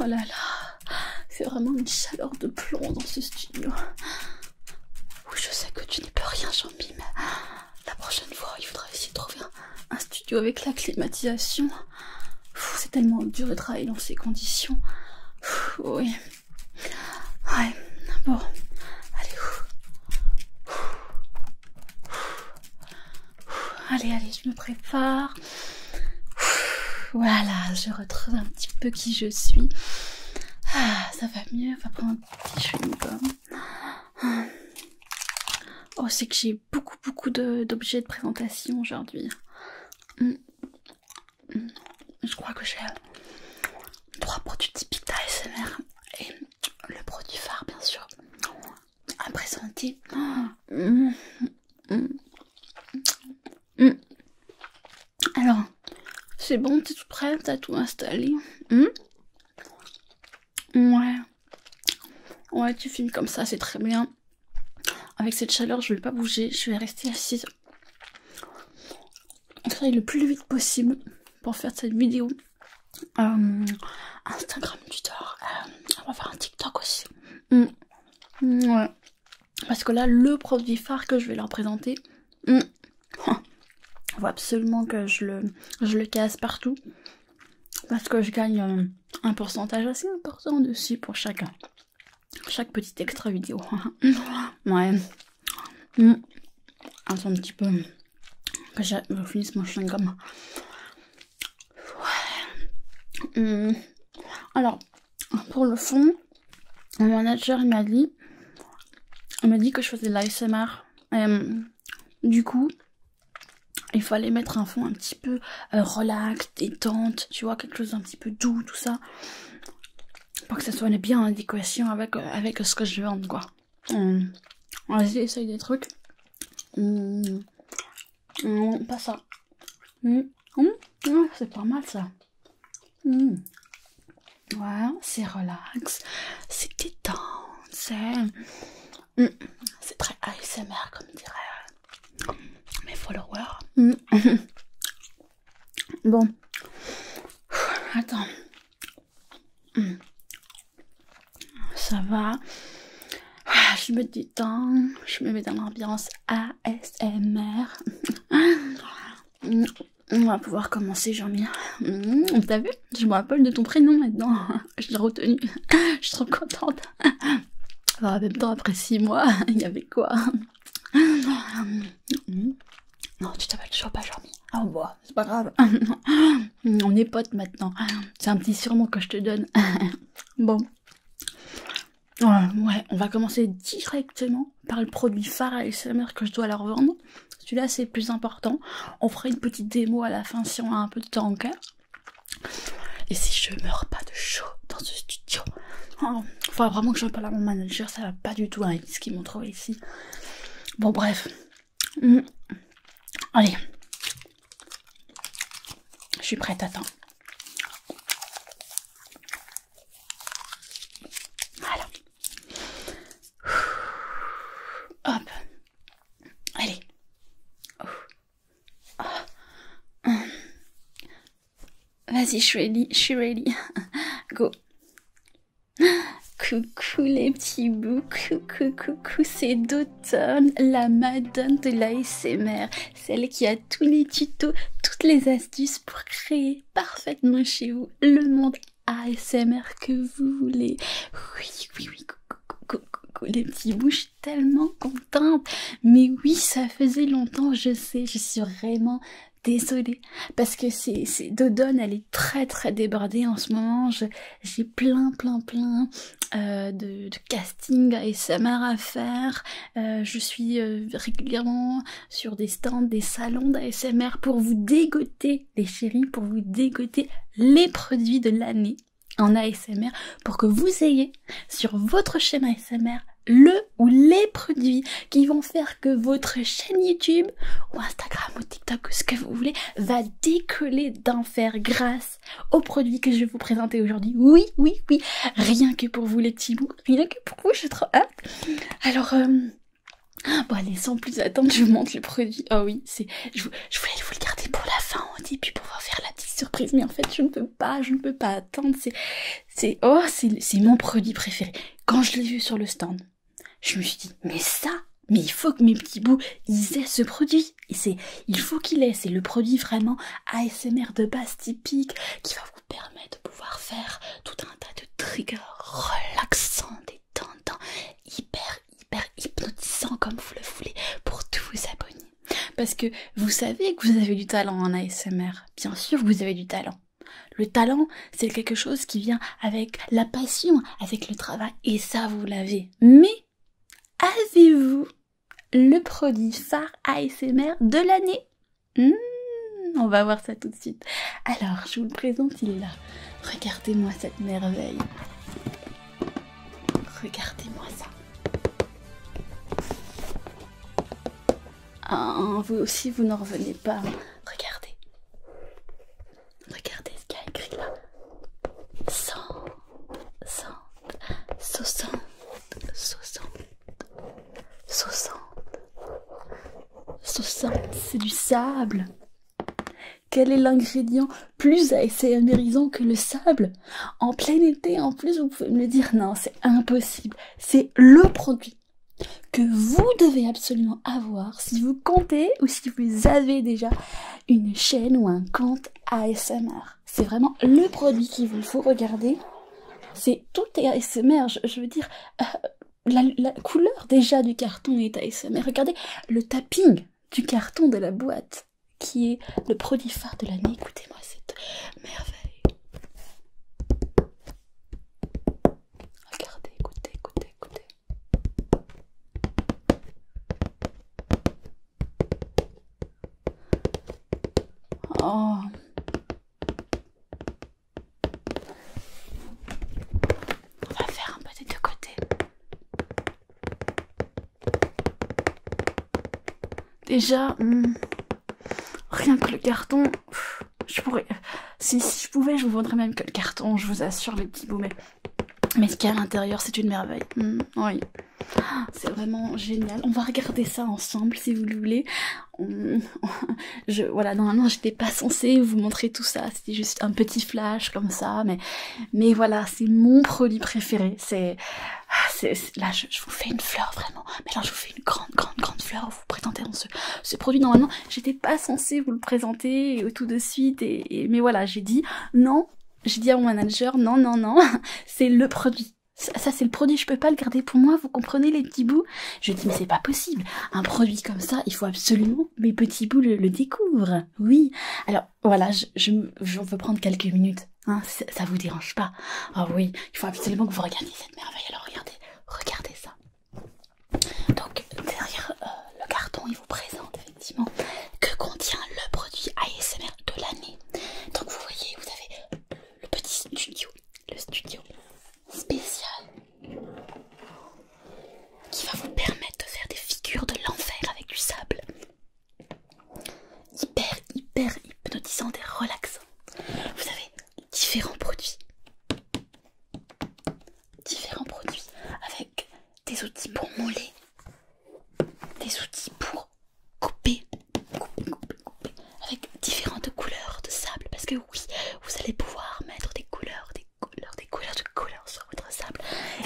Oh là là, c'est vraiment une chaleur de plomb dans ce studio. je sais que tu n'es peux rien, jean mais la prochaine fois, il faudra essayer de trouver un, studio avec la climatisation. C'est tellement dur de travailler dans ces conditions. Oui. Ouais, bon. Allez. Allez, allez, je me prépare. Voilà, je retrouve un petit peu qui je suis. Ah, ça va mieux. On va prendre un petit chewing ah. Oh, c'est que j'ai beaucoup, beaucoup d'objets de, présentation aujourd'hui. Hmm. Hmm. Je crois que j'ai euh, trois produits typiques d'ASMR et le produit phare, bien sûr à présenter Alors, c'est bon, t'es tout prêt, t'as tout installé. Hmm? ouais. Ouais, tu filmes comme ça, c'est très bien. Avec cette chaleur, je vais pas bouger, je vais rester assise. Travailler le plus vite possible pour faire cette vidéo. Euh, Instagram, Twitter, euh, on va faire un TikTok aussi. Mm. Parce que là, le produit phare que je vais leur présenter, mm. on absolument que je le, je le casse partout. Parce que je gagne euh, un pourcentage assez important dessus pour chacun. Chaque petite extra vidéo. ouais. Mm. un petit peu que je finisse mon chewing-gum. Hum. Alors, pour le fond, mon euh, manager m'a dit, m'a dit que je faisais de l'ISMR euh, du coup, il fallait mettre un fond un petit peu euh, relax, détente, tu vois, quelque chose d'un petit peu doux, tout ça, pour que ça soit bien en adéquation avec, ce que je vends, quoi. On hum. Vas-y, essaye des trucs. Hum. Non, pas ça. Hum, hum, hum, c'est pas mal ça. Ouais, c'est relax, c'est détente, c'est... C'est très ASMR comme dirait euh, mes followers. Bon, attends ça va. Ah, je me temps je me mets dans l'ambiance ASMR. On va pouvoir commencer, Jean-Mi. Mm, t'as vu Je me rappelle de ton prénom maintenant. Je l'ai retenu. Je suis trop contente. même temps, après six mois, il y avait quoi Non, tu t'appelles toujours pas jean Ah, oh, c'est pas grave. On est potes maintenant. C'est un petit surnom que je te donne. bon. Ouais, on va commencer directement par le produit phare à ASMR que je dois leur vendre. Celui-là, c'est plus important. On fera une petite démo à la fin si on a un peu de temps en encore. Et si je meurs pas de chaud dans ce studio, il oh, faudra vraiment que je parle à mon manager, ça va pas du tout avec ce qu'ils m'ont trouvé ici. Bon, bref. Mm. Allez, je suis prête, attends. Voilà. Hop. Allez. Oh. Oh. Vas-y, je suis ready, je suis ready. Go. Coucou les petits bouts, coucou, coucou, c'est d'autres la madone de l'ASMR, celle qui a tous les tutos, toutes les astuces pour créer parfaitement chez vous le monde ASMR que vous voulez. Oui, oui, oui, coucou, les petits bouches tellement contentes, Mais oui, ça faisait longtemps, je sais, je suis vraiment désolée parce que c'est Dodone elle est très très débordée en ce moment j'ai plein plein plein euh, de, casting ASMR à faire. Euh, je suis euh, régulièrement sur des stands, des salons d'ASMR pour vous dégoter, les chéris, pour vous dégoter les produits de l'année en ASMR pour que vous ayez sur votre chaîne ASMR le ou les produits qui vont faire que votre chaîne YouTube ou Instagram ou TikTok ou ce que vous voulez va décoller d'enfer grâce au produit que je vais vous présenter aujourd'hui. Oui, oui, oui, rien que pour vous les petits bouts, rien que pour vous, suis trop Alors, euh, bon allez, sans plus attendre, je vous montre le produit Oh oui, c'est, je, voulais vous le garder pour la fin au début pour vous faire la petite surprise, mais en fait je ne peux pas, je ne peux pas attendre. C'est, c'est, oh, c'est mon produit préféré. Quand je l'ai vu sur le stand, je me suis dit, mais ça, mais il faut que mes petits bouts ils aient ce produit. il faut qu'il ait, c'est le produit vraiment ASMR de base typique qui va vous permettre de pouvoir faire tout un tas de triggers relaxants, détendants, hyper, hyper hypnotisants comme vous le voulez pour tous vos abonnés. Parce que vous savez que vous avez du talent en ASMR. Bien sûr, vous avez du talent. Le talent, c'est quelque chose qui vient avec la passion, avec le travail, et ça, vous l'avez. Mais avez-vous le produit phare ASMR de l'année hmm, On va voir ça tout de suite. Alors, je vous le présente, il là. Regardez-moi cette merveille. Regardez-moi ça. Ah, vous aussi, vous n'en revenez pas. Regardez. Regardez ce qu'il y a écrit là. 100, 100, 60, 60, 60, 60, c'est du sable. Quel est l'ingrédient plus américain que le sable En plein été, en plus, vous pouvez me le dire. Non, c'est impossible. C'est le produit que vous devez absolument avoir si vous comptez ou si vous avez déjà une chaîne ou un compte ASMR. C'est vraiment le produit qu'il vous faut regarder. C'est tout est ASMR, je, veux dire, euh, la, la couleur déjà du carton est ASMR. Regardez le tapping du carton de la boîte qui est le produit phare de l'année. Écoutez-moi cette merveille. Regardez, écoutez, écoutez, écoutez. On va faire un peu des deux côtés. Déjà, hmm, rien que le carton, je pourrais. Si, je pouvais, je vous vendrais même que le carton, je vous assure, les petits boumets. Mais ce qu'il y a à l'intérieur, c'est une merveille. Mm, oui. Ah, c'est vraiment génial. On va regarder ça ensemble si vous le voulez. Je, voilà, normalement, j'étais pas censée vous montrer tout ça. C'était juste un petit flash comme ça. Mais, mais voilà, c'est mon produit préféré. C'est, ah, là, je, vous fais une fleur vraiment. Mais là, je vous fais une grande, grande, grande fleur. Vous présentez dans ce, produit. Normalement, j'étais pas censée vous le présenter tout de suite. et... mais voilà, j'ai dit, non, je dis à mon manager, non, non, non, c'est le produit. Ça, c'est le produit, je peux pas le garder pour moi, vous comprenez les petits bouts Je dis, mais c'est pas possible, un produit comme ça, il faut absolument mes petits bouts le, découvrent. Oui, alors voilà, je, veux prendre quelques minutes, hein. ça, vous dérange pas Ah oui, il faut absolument que vous regardiez cette merveille, alors regardez, regardez ça. Donc derrière euh, le carton, présente effectivement que contient le produit ASMR de l'année. Donc vous voyez, vous avez le petit studio, le studio spécial qui va vous permettre de faire des figures de l'enfer avec du sable. Hyper, hyper hypnotisant et relaxant. Vous avez différents produits. Différents produits avec des outils pour moller, des outils pour couper, couper, couper, couper, avec différentes couleurs de sable. Parce que oui, vous allez pouvoir mettre des couleurs, des couleurs, des couleurs, de couleurs sur votre sable.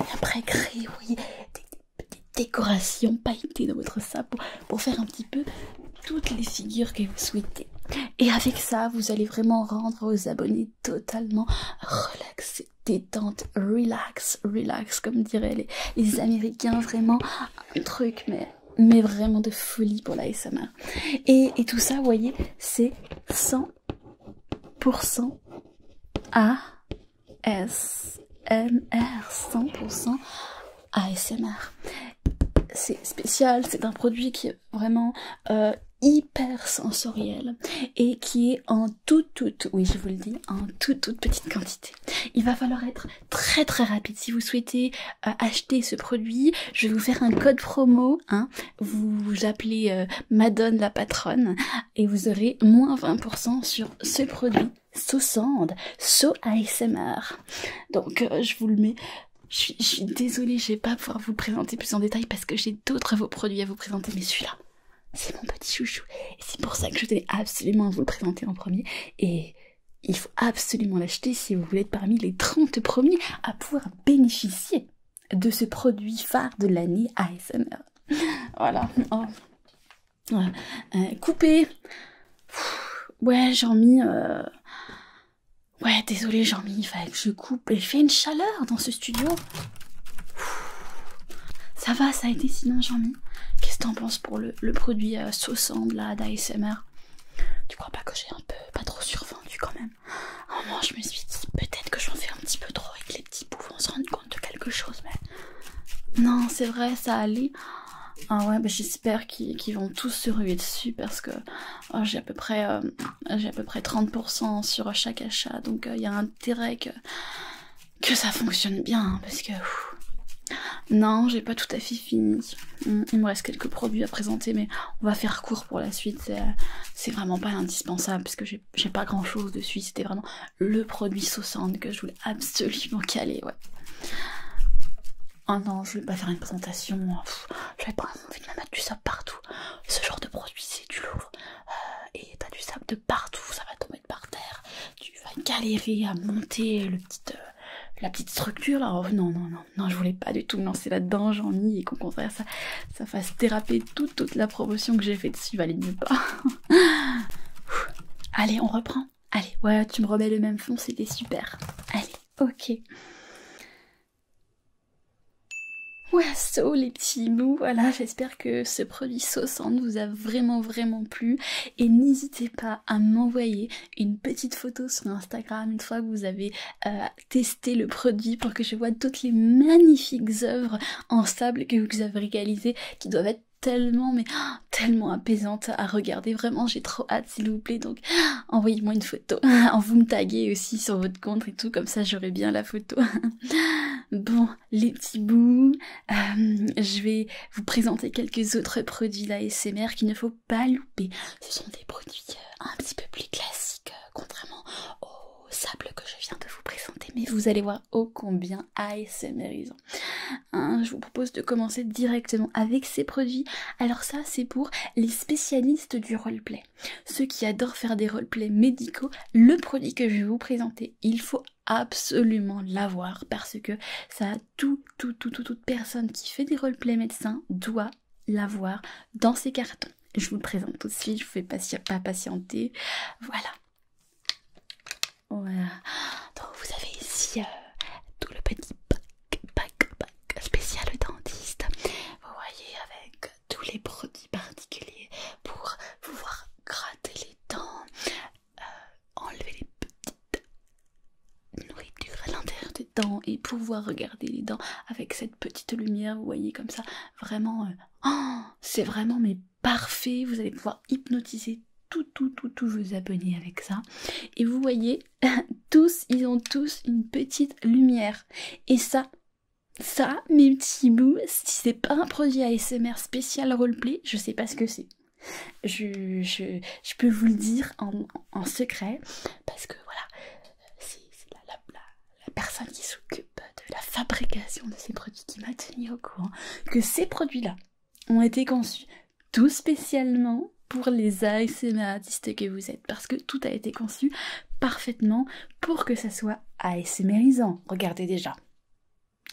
Et après créer, oui, des, petites décorations pailletées dans votre sable pour faire un petit peu toutes les figures que vous souhaitez. Et avec ça, vous allez vraiment rendre aux abonnés totalement relaxé, détente, relax, relax, comme diraient les, Américains, vraiment un truc, mais, mais vraiment de folie pour la SMR. Et, tout ça, vous voyez, c'est 100% ASMR, 100% ASMR. C'est spécial, c'est un produit qui est vraiment euh, hyper sensoriel et qui est en toute toute oui je vous le dis en toute toute petite quantité il va falloir être très très rapide si vous souhaitez euh, acheter ce produit je vais vous faire un code promo hein vous, appelez euh, madone la patronne et vous aurez moins 20% sur ce produit so sand so asmr donc euh, je vous le mets je suis, désolée, je vais pas pouvoir vous présenter plus en détail parce que j'ai d'autres vos produits à vous présenter, mais celui-là, c'est mon petit chouchou. Et c'est pour ça que je tenais absolument à vous le présenter en premier. Et il faut absolument l'acheter si vous voulez être parmi les 30 premiers à pouvoir bénéficier de ce produit phare de l'année ASMR. Voilà. Coupez oh. euh, coupé. ouais, j'en mis... Euh, ouais, désolé, jean mis, il que je coupe. Il fait une chaleur dans ce studio. Ça va, ça a été sinon, Jean-Mi Qu'est-ce que t'en penses pour le, produit euh, saucant de la d'ASMR Tu crois pas que j'ai un peu pas trop survendu quand même Ah je me suis dit peut-être que j'en fais un petit peu trop et que les petits poux vont se rendre compte de quelque chose, mais. Non, c'est vrai, ça allait. Ah ouais, j'espère qu'ils vont tous se ruer dessus parce que Oh, j'ai à peu près euh, j'ai à peu près 30% sur chaque achat donc il euh, y a intérêt que ça fonctionne bien hein, parce que non j'ai pas tout à fait fini il me reste quelques produits à présenter mais on va faire court pour la suite c'est euh, vraiment pas indispensable parce que j'ai pas grand chose dessus c'était vraiment le produit 60 que je voulais absolument caler oh non, je vais pas faire une présentation. Hein. J'avais pas envie de me du sable partout. Ce genre de produit, c'est du lourd. Euh, et t'as du sable de partout, ça va tomber par terre, tu vas galérer à monter le euh, la petite structure là. Oh, non, non, non, non, je voulais pas du tout me lancer là-dedans, j'en ai et qu'au contraire ça, ça fasse déraper toute, toute la promotion que j'ai faite. dessus, valide pas. Allez, on reprend. Allez, ouais, tu me remets le même fond, c'était super. Allez, ok. Waouh les petits mous, voilà, j'espère que ce produit saucente vous a vraiment vraiment plu et n'hésitez pas à m'envoyer une petite photo sur Instagram une fois que vous avez euh, testé le produit pour que je vois toutes les magnifiques œuvres en sable que vous avez réalisées qui doivent être tellement mais tellement apaisantes à regarder vraiment j'ai trop hâte s'il vous plaît donc envoyez-moi une photo En vous me taguez aussi sur votre compte et tout, comme ça j'aurai bien la photo. bon, les petits bouts, euh, je vais vous présenter quelques autres produits d'ASMR qu'il ne faut pas louper. Ce sont des produits euh, un petit peu plus classiques, euh, contrairement au sable que je viens de vous présenter, mais vous allez voir ô combien ils ont. Hein, je vous propose de commencer directement avec ces produits. Alors ça, c'est pour les spécialistes du roleplay. Ceux qui adorent faire des roleplays médicaux, le produit que je vais vous présenter, il faut absolument l'avoir parce que ça, tout, tout, toute personne qui fait des roleplays médecins doit l'avoir dans ses cartons. Je vous le présente tout de suite, je vous fais pas patienter. Voilà. Voilà. Donc vous avez ici euh, tout le petit pack, pack, pack spécial dentiste. Vous voyez avec tous les produits particuliers pour pouvoir gratter les dents, euh, enlever les petites nourritures à l'intérieur des dents et pouvoir regarder les dents avec cette petite lumière, vous voyez comme ça, vraiment, euh, oh, c'est vraiment mais parfait, vous allez pouvoir hypnotiser tout, tout, tout, tout vos abonnés avec ça. Et vous voyez, tous, ils ont tous une petite lumière. Et ça, ça, mes petits bouts, si c'est pas un produit ASMR spécial roleplay, je sais pas ce que c'est. Je, peux vous le dire en, secret, parce que voilà, c'est la, la, la, la personne qui s'occupe de la fabrication de ces produits qui m'a tenu au courant que ces produits-là ont été conçus tout spécialement pour les ASMR que vous êtes, parce que tout a été conçu parfaitement pour que ça soit mérisant. Regardez déjà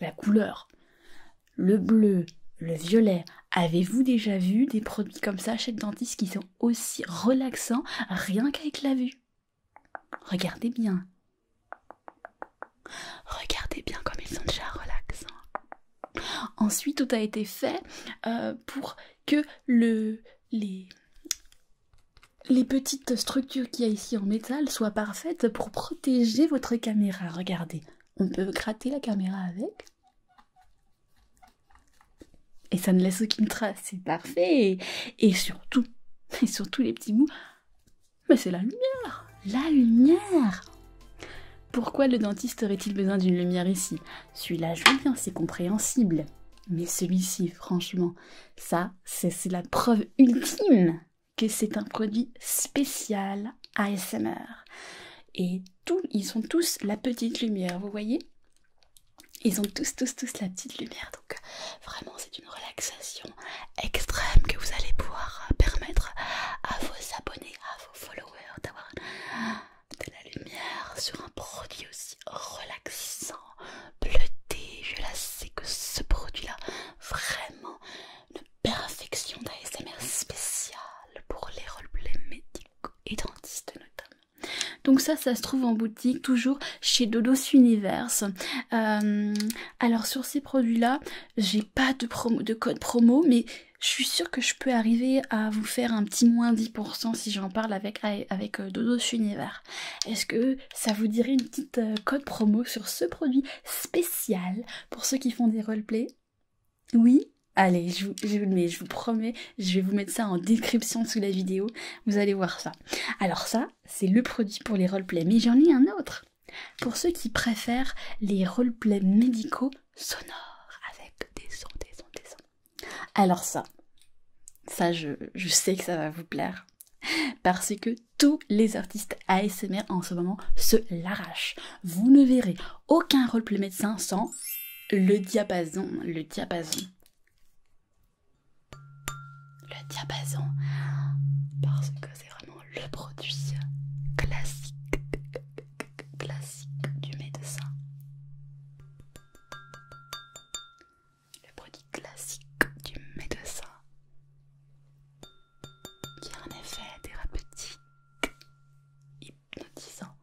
la couleur, le bleu, le violet. Avez-vous déjà vu des produits comme ça chez le dentiste qui sont aussi relaxants rien qu'avec la vue Regardez bien. Regardez bien comme ils sont déjà relaxants. Ensuite, tout a été fait euh, pour que le les, petites structures qu'il y a ici en métal soient parfaites pour protéger votre caméra. Regardez, on peut gratter la caméra avec. Et ça ne laisse aucune trace, c'est parfait. Et surtout, et surtout les petits bouts, mais c'est la lumière La lumière Pourquoi le dentiste aurait-il besoin d'une lumière ici celui-là, je le c'est compréhensible. Mais celui-ci, franchement, ça, c'est la preuve ultime que c'est un produit spécial ASMR. Et tous, ils ont tous la petite lumière, vous voyez Ils ont tous, tous, tous la petite lumière. Donc, vraiment, c'est une relaxation extrême que vous allez pouvoir permettre à vos abonnés, à vos followers d'avoir de la lumière sur un produit aussi relaxant, bleuté, je la sais que ce produit-là, vraiment une perfection d'ASMR spéciale pour les roleplays médicaux et dentistes notamment. Donc ça, ça se trouve en boutique, toujours chez Dodos Universe. Euh, alors sur ces produits-là, j'ai pas de, promo, de code promo, mais je suis sûre que je peux arriver à vous faire un petit moins si j'en parle avec, euh, Dodo Dodos Univers. Est-ce que ça vous dirait une petite euh, code promo sur ce produit spécial pour ceux qui font des roleplays Oui Allez, je vous, je, je vous promets, je vais vous mettre ça en description sous la vidéo, vous allez voir ça. Alors ça, c'est le produit pour les roleplays, mais j'en ai un autre pour ceux qui préfèrent les roleplays médicaux sonores avec des sons, des sons, des sons. Alors ça, ça je, sais que ça va vous plaire. Parce que tous les artistes ASMR en ce moment se l'arrachent. Vous ne verrez aucun rôle roleplay médecin sans le diapason. Le diapason. Le diapason. Parce que c'est vraiment le produit classique, classique du médecin. Le produit classique du médecin qui a un effet thérapeutique hypnotisant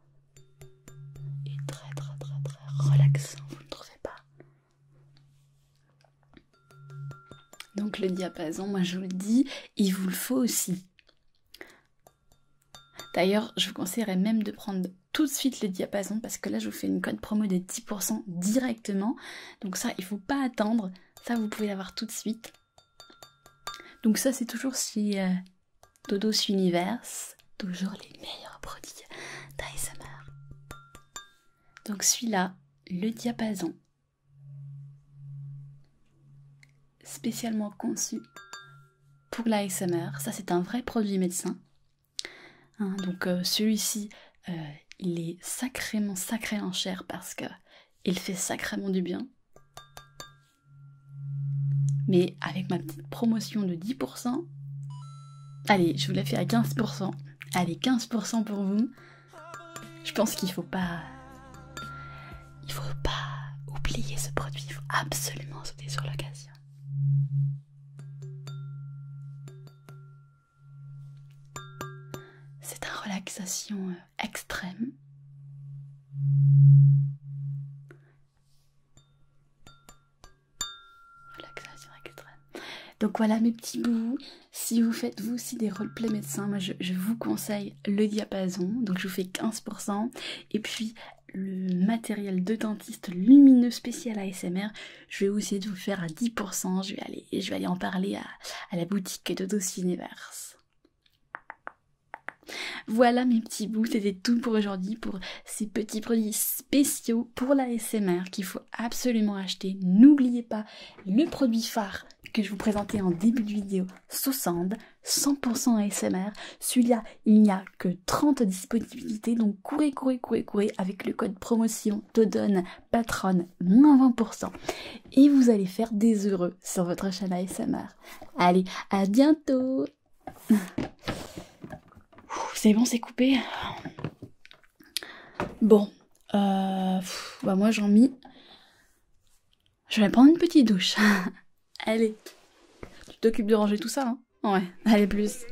et très très très très relaxant, vous ne trouvez pas Donc le diapason, moi je vous le dis, il vous le faut aussi. D'ailleurs, je vous conseillerais même de prendre tout de suite le diapason parce que là, je vous fais une code promo de 10% directement. Donc ça, il faut pas attendre. Ça, vous pouvez l'avoir tout de suite. Donc ça, c'est toujours chez euh, Dodos Universe. Toujours les meilleurs produits d'ASMR. Donc celui-là, le diapason. Spécialement conçu pour l'ASMR. Ça, c'est un vrai produit médecin. Hein, donc, euh, celui-ci, euh, il est sacrément, sacré en cher parce que il fait sacrément du bien. Mais avec ma petite promotion de 10%, allez, je vous l'ai fait à 15%. Allez, 15% pour vous. Je pense qu'il faut pas. Il faut pas oublier ce produit, il faut absolument sauter sur l'occasion. C'est un relaxation euh, extrême. Relaxation extrême. Donc voilà mes petits bouts. Si vous faites vous aussi des roleplay médecins, moi je, je vous conseille le diapason. Donc je vous fais 15%. Et puis le matériel de dentiste lumineux spécial ASMR. Je vais essayer de vous faire à 10%. Je vais aller, je vais en parler à, la boutique de Dos Voilà mes petits bouts, c'était tout pour aujourd'hui pour ces petits produits spéciaux pour la SMR qu'il faut absolument acheter. N'oubliez pas le produit phare que je vous présentais en début de vidéo, 60 100% ASMR. Celui-là, il n'y a que 30 disponibilités, donc courez, courez, courez, courez avec le code promotion TODON Patron moins 20% et vous allez faire des heureux sur votre chaîne smr Allez, à bientôt C'est bon, c'est coupé Bon, euh, bah moi j'en mis je vais prendre une petite douche. Allez. Tu t'occupes de ranger tout ça, hein Ouais, allez plus.